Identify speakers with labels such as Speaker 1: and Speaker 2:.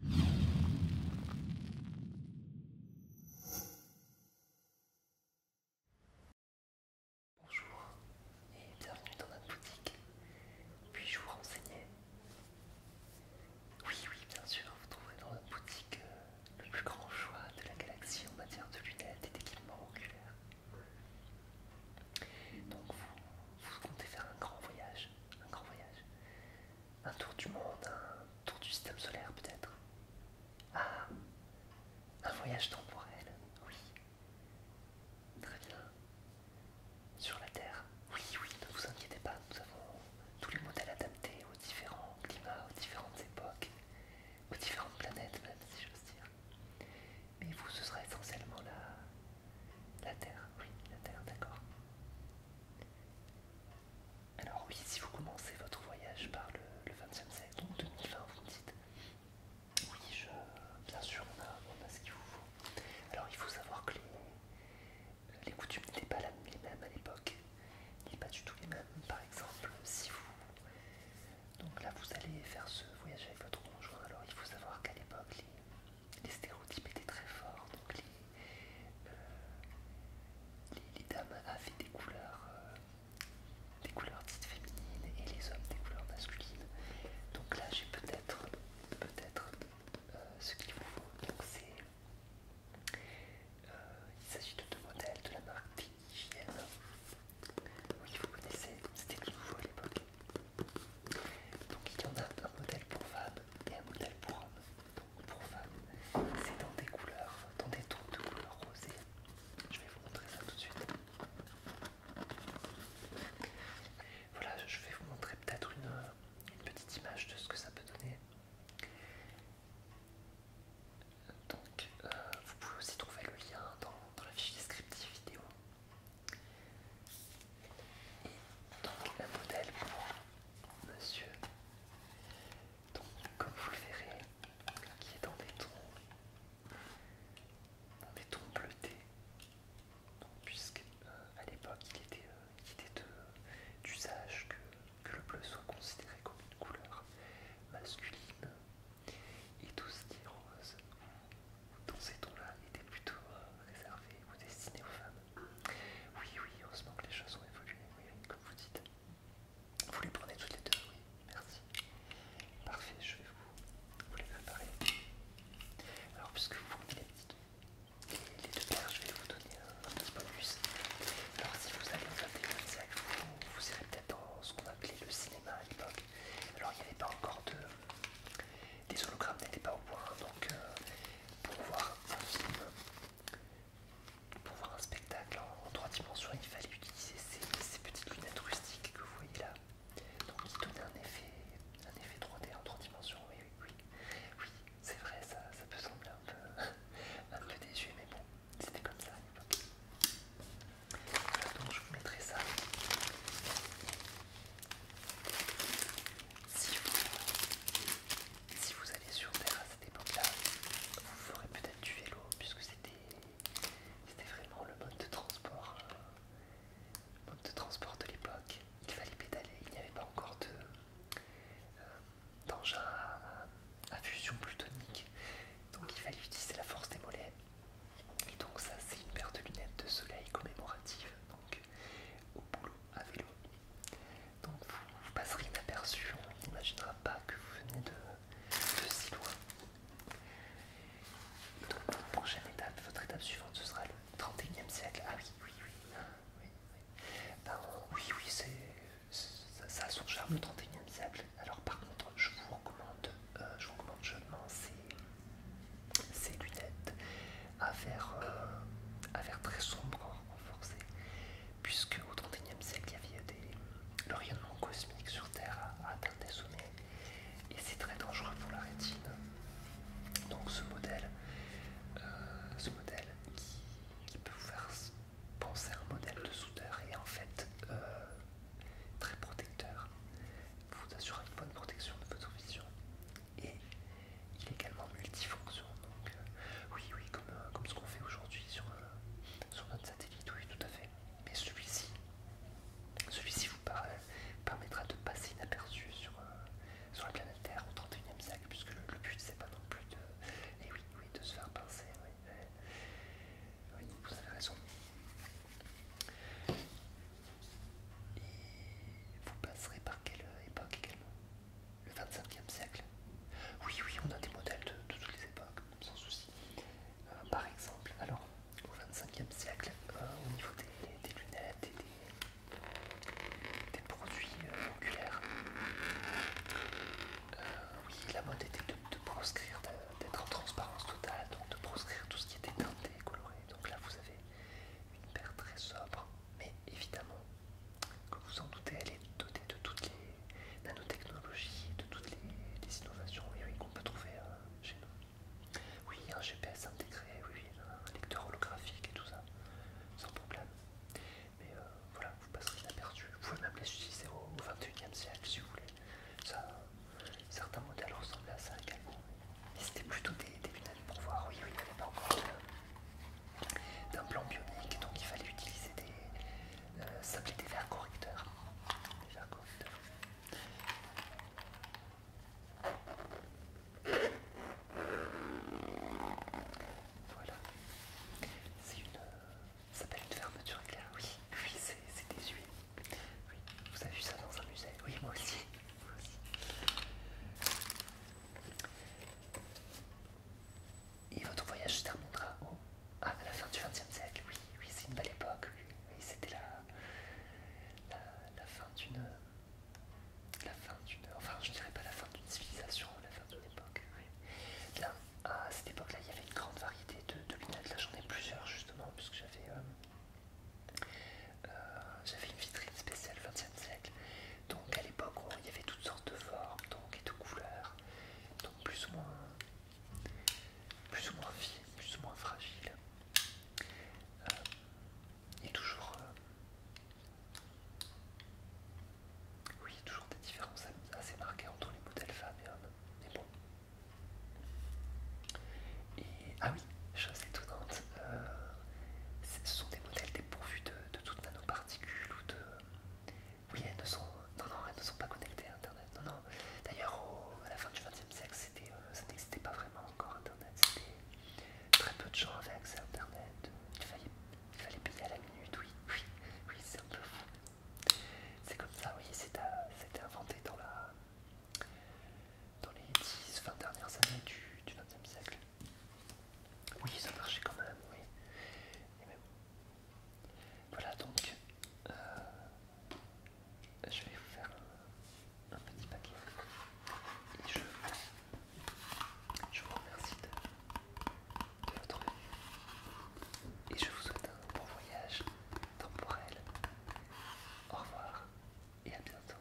Speaker 1: Bonjour et bienvenue dans notre boutique. Puis-je vous renseigner Oui, oui, bien sûr, vous trouverez dans notre boutique euh, le plus grand choix de la galaxie en matière de lunettes et d'équipements oculaires. Donc vous, vous comptez faire un grand voyage, un grand voyage. Un tour du monde, un tour du système solaire peut-être. Ah, un voyage temporel, oui. Très bien. Sur la Terre, oui, oui, ne vous inquiétez pas, nous avons tous les modèles adaptés aux différents climats, aux différentes époques, aux différentes planètes même, si j'ose dire. Mais vous, ce sera essentiellement la, la Terre, oui, la Terre, d'accord. Alors oui, si vous commencez votre voyage par le, XXe siècle, donc 2020, vous me dites, oui, je, bien sûr, on a, ce qu'il vous faut. Alors il faut savoir que les, coutumes n'étaient pas les mêmes à l'époque, n'étaient pas du tout les mêmes. Par exemple, si vous... Donc là, vous allez faire ce voyage avec votre conjoint, alors il faut savoir qu'à l'époque, les, les stéréotypes étaient très forts. Donc les, euh, dames avaient des couleurs, euh, des couleurs dites féminines et les hommes des couleurs masculines. Donc là, j'ai peut-être, peut-être euh, ce qu'il vous faut. il s'agit de deux modèles de la marque Oui, vous connaissez, c'était tout nouveau à l'époque. Donc il y en a un modèle pour femmes et un modèle pour hommes. pour femmes, c'est dans des couleurs, dans des tons de couleurs rosées. Je vais vous montrer ça tout de suite. Voilà, je vais vous montrer peut-être une, petite image de ce que ça peut donner. Donc, euh, vous pouvez aussi trouver le lien dans, dans la fiche descriptive vidéo. Et donc un modèle pour monsieur, comme vous le verrez, qui est dans des tons bleutés, Puisqu'à puisque euh, à l'époque il était, euh, d'usage que, que le bleu soit considéré comme une couleur masculine et tout ce qui est rose dans ces tons-là était plutôt euh, réservé ou destiné aux femmes. Oui, oui, heureusement que les choses ont évolué, oui, comme vous dites. Vous les prenez toutes les deux, oui, merci. Parfait, je vais vous, les préparer. Alors, puisque vous prenez les deux paires, je vais vous donner un, petit bonus. Alors, si vous allez au 21 vous, vous irez peut-être dans ce qu'on appelait le cinéma à l'époque. Alors, il n'y avait pas encore de. Les hologrammes n'étaient pas au point, donc euh, pour voir un film, pour voir un spectacle en, trois dimensions, il fallait utiliser ces, petites lunettes rustiques que vous voyez là. Donc qui donnaient un effet, un effet 3D en trois dimensions, oui, oui, oui. Oui, c'est vrai, ça, ça peut sembler un peu, un peu mais bon, c'était comme ça à donc je vous mettrai ça. Si vous, allez sur Terre à cette époque-là, vous ferez peut-être du vélo, puisque c'était vraiment le mode de transport, euh, de transport de l'époque. Il fallait pédaler, il n'y avait pas encore euh, d'engin à, fusion plutonique, donc il fallait utiliser la force des mollets. Et donc ça, c'est une paire de lunettes de soleil commémorative. Donc au boulot à vélo. Donc vous, passerez inaperçu, on n'imaginera pas que vous venez de, si loin. donc votre prochaine étape, votre étape suivante, ce sera le 31e siècle. Ah oui, oui, oui. Ah, oui, oui, ça, a son charme le 31e siècle. Alors par contre, je vous recommande, euh, je vous recommande ces lunettes. Euh, à faire très sombre, renforcé, puisque au XXIe siècle, il y avait des, le rayonnement cosmique sur Terre à atteint des sommets, et c'est très dangereux pour la rétine. Donc ce modèle, euh, ce modèle qui, peut vous faire penser à un modèle de soudeur et en fait euh, très protecteur, vous assure une bonne protection de votre vision et il est également multifonction. Donc, euh, oui, oui, euh, comme, ce qu'on fait aujourd'hui euh, sur, notre satellite, oui, tout à fait. Mais celui-ci, celui-ci vous permettra de passer inaperçu sur, sur la planète Terre au 31e siècle, puisque le, but, c'est pas non plus de, eh oui, oui, de se faire pincer. Oui, oui, vous avez raison. Et vous passerez par quelle époque également le 25e siècle. Oui, oui, on a des modèles de, toutes les époques, sans souci. Euh, par exemple, alors, au 25e siècle, euh, au niveau des, lunettes et des, produits euh, oculaires, oui, la mode était de, de proscrire, d'être en transparence totale, donc de proscrire tout ce qui était teinté, coloré. Donc là, vous avez une paire très sobre, mais évidemment comme vous en doutez, elle est dotée de toutes les nanotechnologies, de toutes les, innovations qu'on peut trouver euh, chez nous. Oui, un GPS intégré, oui, un lecteur holographique et tout ça, sans problème. Mais euh, voilà, vous passerez inaperçu. Vous pouvez même les utiliser au, 21e siècle si vous voulez. certains modèles ressemblent à ça également. Mais c'était plutôt des, lunettes pour voir, oui, oui, il n'y pas encore euh, d'un plan bionique, donc il fallait utiliser des. Euh, des verres correcteurs. Voilà. C'est une. Euh, s'appelle une fermeture éclair, oui. Oui, c'est des huiles. Oui. Vous avez vu ça dans un musée Oui, moi aussi. Et votre voyage se terminera ah, à la fin du XXe siècle. Oui, oui c'est une belle époque. Oui, c'était la, la, fin d'une. La fin Enfin, je dirais pas la fin d'une civilisation, la fin d'une époque. Oui. à cette époque-là, il y avait une grande variété de, de lunettes. Là, j'en ai plusieurs justement, puisque j'avais. Euh, euh, j'avais une vitrine spéciale 20 siècle donc à l'époque, il y avait toutes sortes de formes donc, et de couleurs, donc plus ou moins, plus ou moins fines, plus ou moins fragiles. Euh, y et toujours, euh, oui, toujours des différences assez marquées entre les modèles femmes et hommes. Mais bon. Et, ah oui, chose étonnante, euh, ce sont des modèles dépourvus de de toutes nanoparticules ou de... Oui, elles ne sont, elles ne sont pas connectées à Internet. Non, D'ailleurs, à la fin du XXe siècle, euh, ça n'existait pas vraiment encore Internet. Très peu de gens avaient accès à Internet. Il fallait, il à la minute, oui, oui, oui, c'est un peu fou. C'est comme ça, oui, c'était inventé dans la... Dans les 10-20 dernières années du XXe siècle. Oui, ça marchait quand même, oui. Voilà donc, euh, je vais vous faire un, petit paquet et je, vous remercie de, votre et je vous souhaite un bon voyage temporel. Au revoir et à bientôt.